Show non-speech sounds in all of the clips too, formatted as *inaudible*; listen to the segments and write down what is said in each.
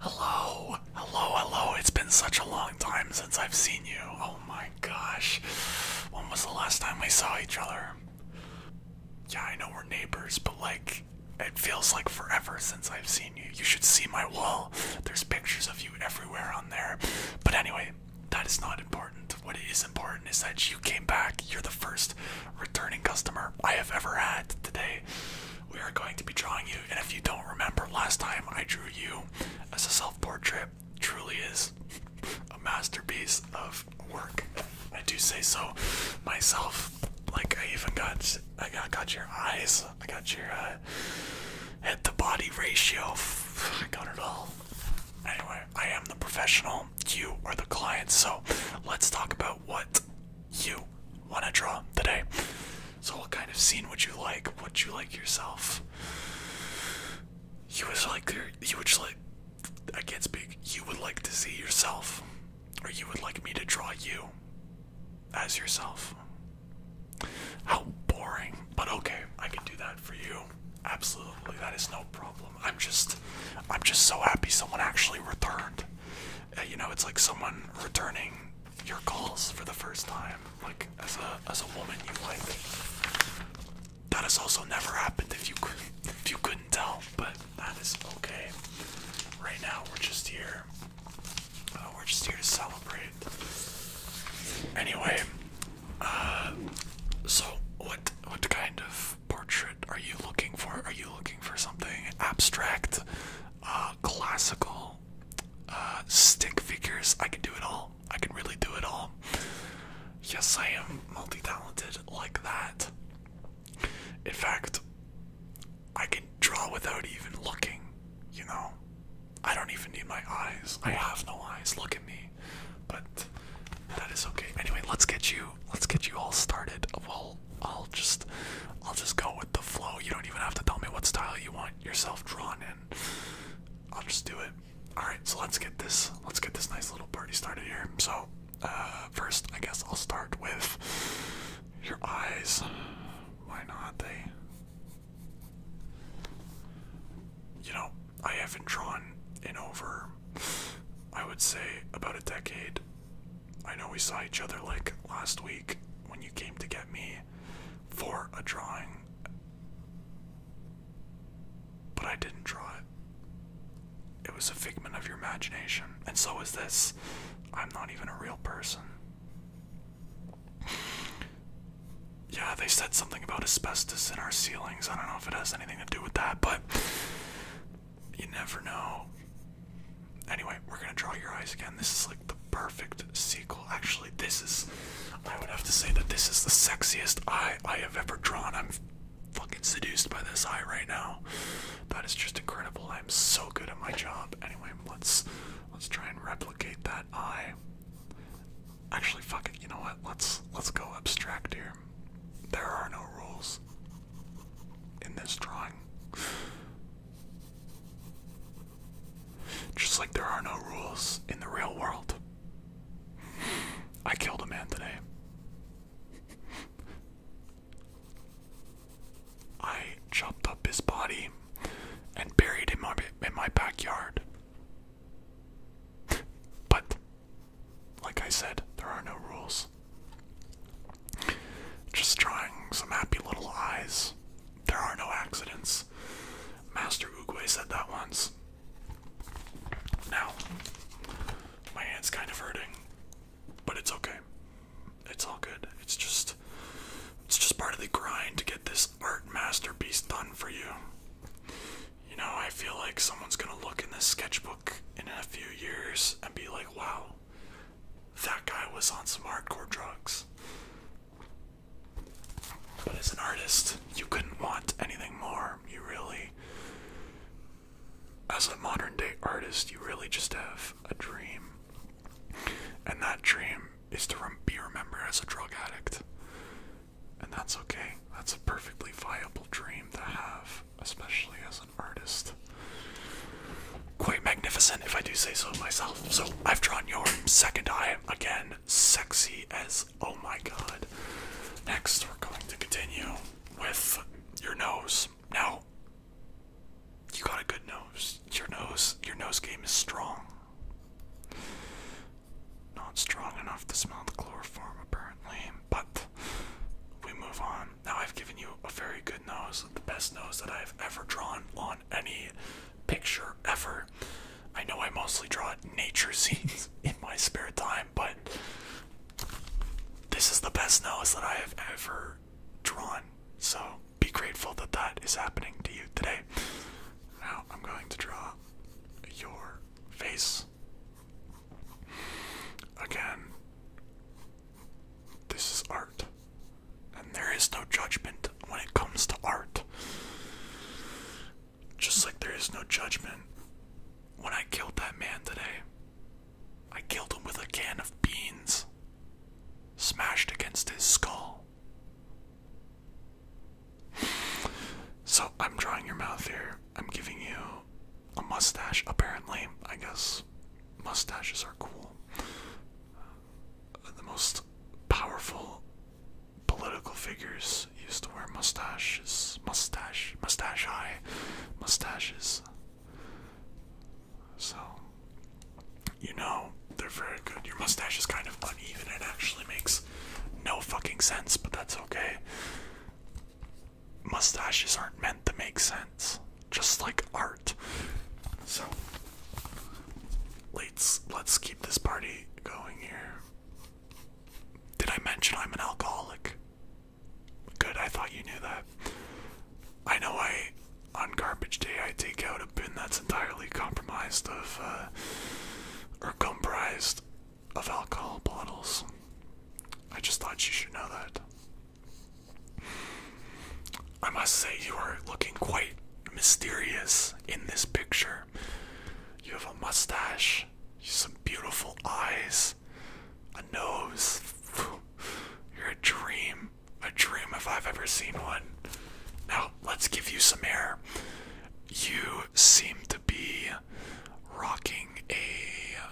Hello, hello, hello. It's been such a long time since I've seen you. Oh my gosh. When was the last time we saw each other? Yeah, I know we're neighbors, but like, it feels like forever since I've seen you. You should see my wall. There's pictures of you everywhere on there. But anyway, that is not important. What is important is that you came back. You're the first returning customer I have ever had today. We are going to be drawing you, and if you don't remember last time I drew you as a self-portrait, truly is a masterpiece of work. I do say so myself. Like I even got, I got, got your eyes. I got your uh, head to body ratio. I got it all. Anyway, I am the professional. You are the client. So let's talk about what you want to draw today. So, I'll kind of see what you like? What you like yourself? You would like you would like I can't speak. You would like to see yourself, or you would like me to draw you as yourself. How boring, but okay, I can do that for you. Absolutely, that is no problem. I'm just, I'm just so happy someone actually returned. Uh, you know, it's like someone returning your calls for the first time, like as a as a woman you like. That has also never happened if you if you couldn't tell, but that is okay. Right now we're just here. Uh, we're just here to celebrate. Anyway, uh, so what what kind of portrait? are you looking for? Are you looking for something abstract, uh, classical, uh, stick figures? I can do it all. I can really do it all. Yes, I am multi talented like that. In fact, I can draw without even looking, you know? I don't even need my eyes. I have no eyes. Look at me. But that is okay. Anyway, let's get you let's get you all started. Well, I'll just I'll just go with the flow. You don't even have to tell me what style you want yourself drawn in. I'll just do it. Alright, so let's get this let's get this nice little party started here. So uh, first I guess I'll start with your eyes. Why not they you know, I haven't drawn in over I would say about a decade. I know we saw each other like last week when you came to get me for a drawing, but I didn't draw it. It was a figment of your imagination, and so is this. I'm not even a real person. Yeah, they said something about asbestos in our ceilings. I don't know if it has anything to do with that, but you never know. Anyway, we're gonna draw your eyes again. This is like the perfect sequel. Actually, this is. I would have to say that this is the sexiest eye I have ever drawn. I'm fucking seduced by this eye right now. That is just incredible. I'm so good at my job. Anyway, let's let's try and replicate that eye. Actually, fuck it. You know what? Let's let's go abstract here. There are no rules in this drawing. Just like there are no rules in the real world. I killed a man today. I chopped up his body and buried him in my backyard. But like I said, there are no rules. Just drawing some happy little eyes. There are no accidents. Master Oogway said that once. Now, my hand's kind of hurting, but it's okay. It's all good. It's just it's just part of the grind to get this art masterpiece done for you you know, I feel like someone's gonna look in this sketchbook in a few years and be like, wow, that guy was on some hardcore drugs. But as an artist, you couldn't want anything more. You really, as a modern day artist, you really just have a dream. And that dream is to be remembered as a drug addict. And that's okay. That's a perfectly viable dream to have, especially as an artist. Quite magnificent, if I do say so myself. So I've drawn your second eye again, sexy as oh my god. Next, we're going to continue with your nose. Now, you got a good nose. Your nose, your nose game is strong. Not strong enough to smell the chloroform, apparently, but we move on. Now I've given you a very good nose, the best nose that I've ever drawn on any picture ever. I know I mostly draw nature *laughs* scenes in my spare time, but this is the best nose that I have ever drawn. So be grateful that that is happening to you today. Now I'm going to draw your face. Again, this is art. And there is no judgment when it comes to art. Just like there is no judgment when I killed that man today. I killed him with a can of beans smashed against his skull. So I'm drawing your mouth here. I'm giving you a mustache, apparently. I guess mustaches are cool. Uh, the most powerful political figures used to wear mustaches. Mustache, mustache high, mustaches. So, you know, they're very good. Your mustache is kind of uneven. It actually makes no fucking sense, but that's okay. Mustaches aren't meant to make sense, just like art. So let's let's keep this party going here. Did I mention I'm an alcoholic? Good, I thought you knew that. I know I on garbage day I take out a bin that's entirely compromised of uh, or comprised of alcohol bottles. I just thought you should know that. I must say, you are looking quite mysterious in this picture. You have a mustache, some beautiful eyes, a nose. *sighs* You're a dream. A dream if I've ever seen one. Now, let's give you some air you seem to be rocking ai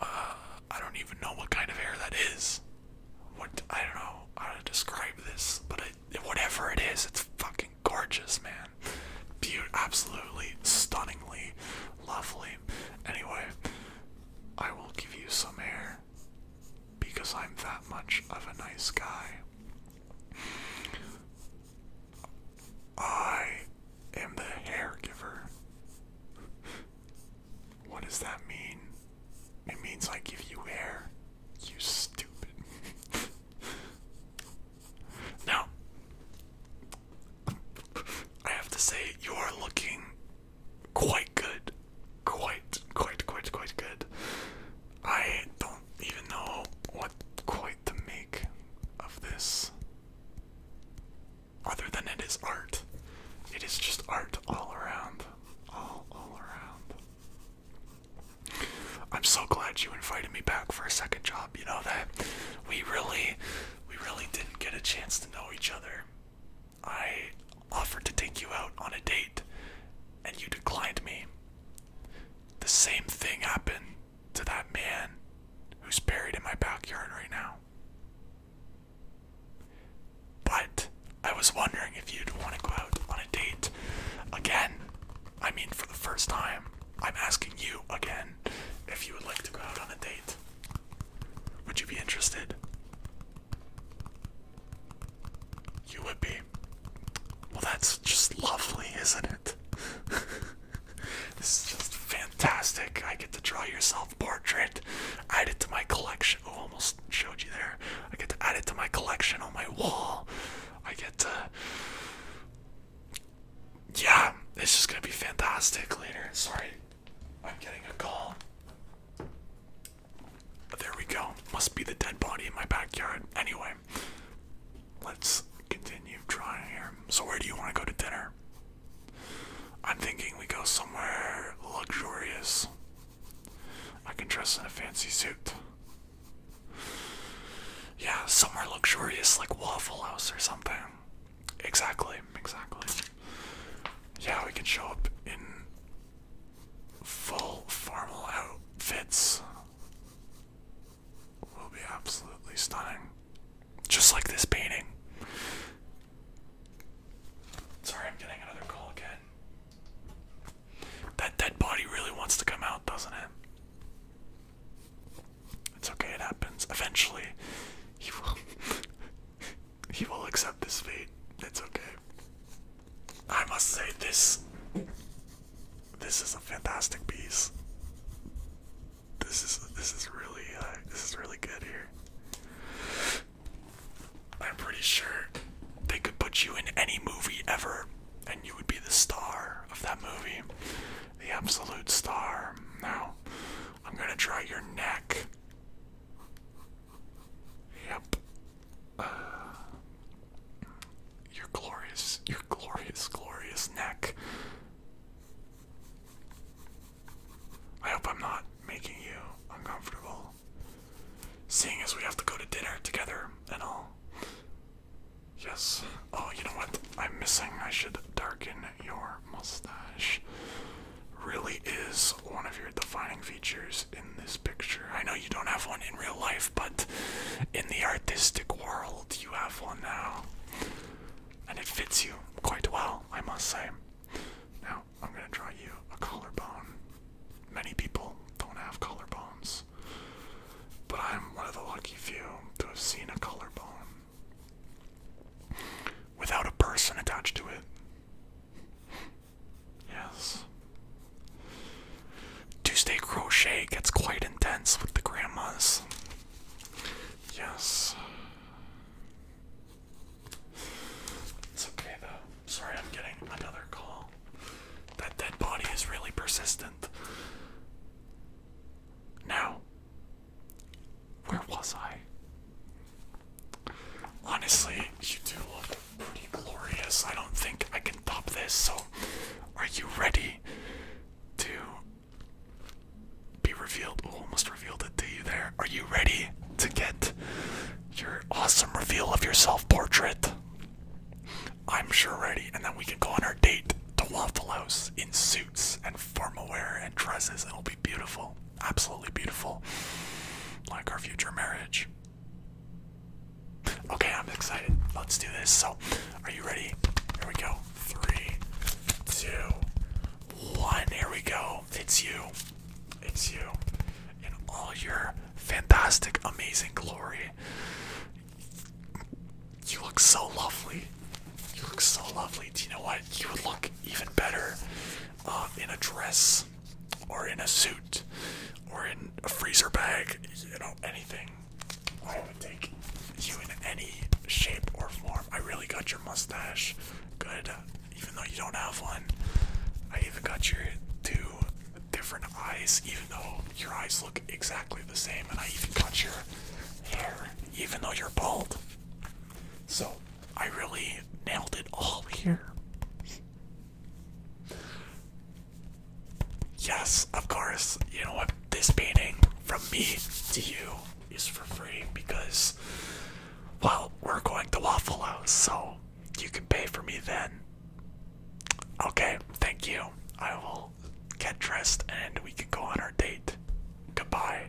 uh, don't even know what kind of hair that is. What I don't know how to describe this, but whatever it is, it's fucking gorgeous, man. Beautiful, absolutely, stunningly, lovely. Anyway, I will give you some hair because I'm that much of a nice guy. I am the hair giver. What does that mean? It means I give you hair. You stupid. now, I have to say, you are looking quite good. Quite, quite, quite, quite good. I don't even know what quite to make of this. Other than it is art. It is just art all around. All, all around. I'm so glad you invited me back for a second job. You know that we really, we really didn't get a chance to know each other. I offered to take you out on a date and you declined me. The same thing happened to that man who's buried in my backyard right now. But I was wondering if you'd want to go out on a date again. I mean, for the first time, I'm asking you again if you would like to go out on a date. Would you be interested? You would be. Well, that's just lovely, isn't it? *laughs* this is just fantastic. I get to draw your self portrait, add it to my collection. Oh, almost showed you there. I get to add it to my collection on my wall. I get to. Yeah, it's just gonna be fantastic later. Sorry, I'm getting a call. There we go. Must be the dead body in my backyard. Anyway, let's continue trying here. So, where do you want to go to dinner? I'm thinking we go somewhere luxurious. I can dress in a fancy suit. Yeah, somewhere luxurious like Waffle House or something. Exactly, exactly. Yeah, we can show up in full formal outfits will be absolutely stunning. Just like this painting. Sorry, I'm getting another call again. That dead body really wants to come out, doesn't it? It's okay, it happens. Eventually, he will. *laughs* He will accept this fate. It's okay. I must say this this is a fantastic piece. This is this is really uh, this is really good here. I'm pretty sure they could put you in any movie ever and you would be the star of that movie. The absolute star. Now, I'm going to try your neck. Yep. Uh, your glorious, your glorious, glorious neck. I hope I'm not making you uncomfortable. Seeing as we have to go to dinner together and all. Yes. Oh, you know what? I'm missing. I should darken your mustache really is one of your defining features in this picture. I know you don't have one in real life, but in the artistic world, you have one now. And it fits you quite well, I must say. Now, I'm going to draw you a collarbone. Many people don't have collarbones, but I'm one of the lucky few to have seen a collarbone without a person attached to it. Yes. Tuesday crochet gets quite intense with the grandmas. Yes. It's okay though. Sorry, I'm getting another call. That dead body is really persistent. Now, where was I? Honestly, you do look pretty glorious. I don't think I can top this, so are you ready to be revealed? almost revealed it to you there. Are you ready to get your awesome reveal of your self portrait? I'm sure ready, and then we can go on our date to Waffle House in suits and formal wear and dresses. It'll be beautiful absolutely beautiful, like our future marriage. Okay, I'm excited. Let's do this. So, are you ready? Here we go. Three, two, one. Here we go. It's you. It's you. In all your fantastic, amazing glory. You look so lovely. You look so lovely. Do you know what? You would look even better uh, in a dress or in a suit or in a freezer bag, you know, anything. I would take you in any shape or form. I really got your mustache good, even though you don't have one. I even got your two different eyes, even though your eyes look exactly the same, and I even got your hair, even though you're bald. So, I really nailed it all here. Yes, of course. You know what? This painting from me to you is for free because, well, we're going to Waffle House, so you can pay for me then. Okay, thank you. I will get dressed and we can go on our date. Goodbye.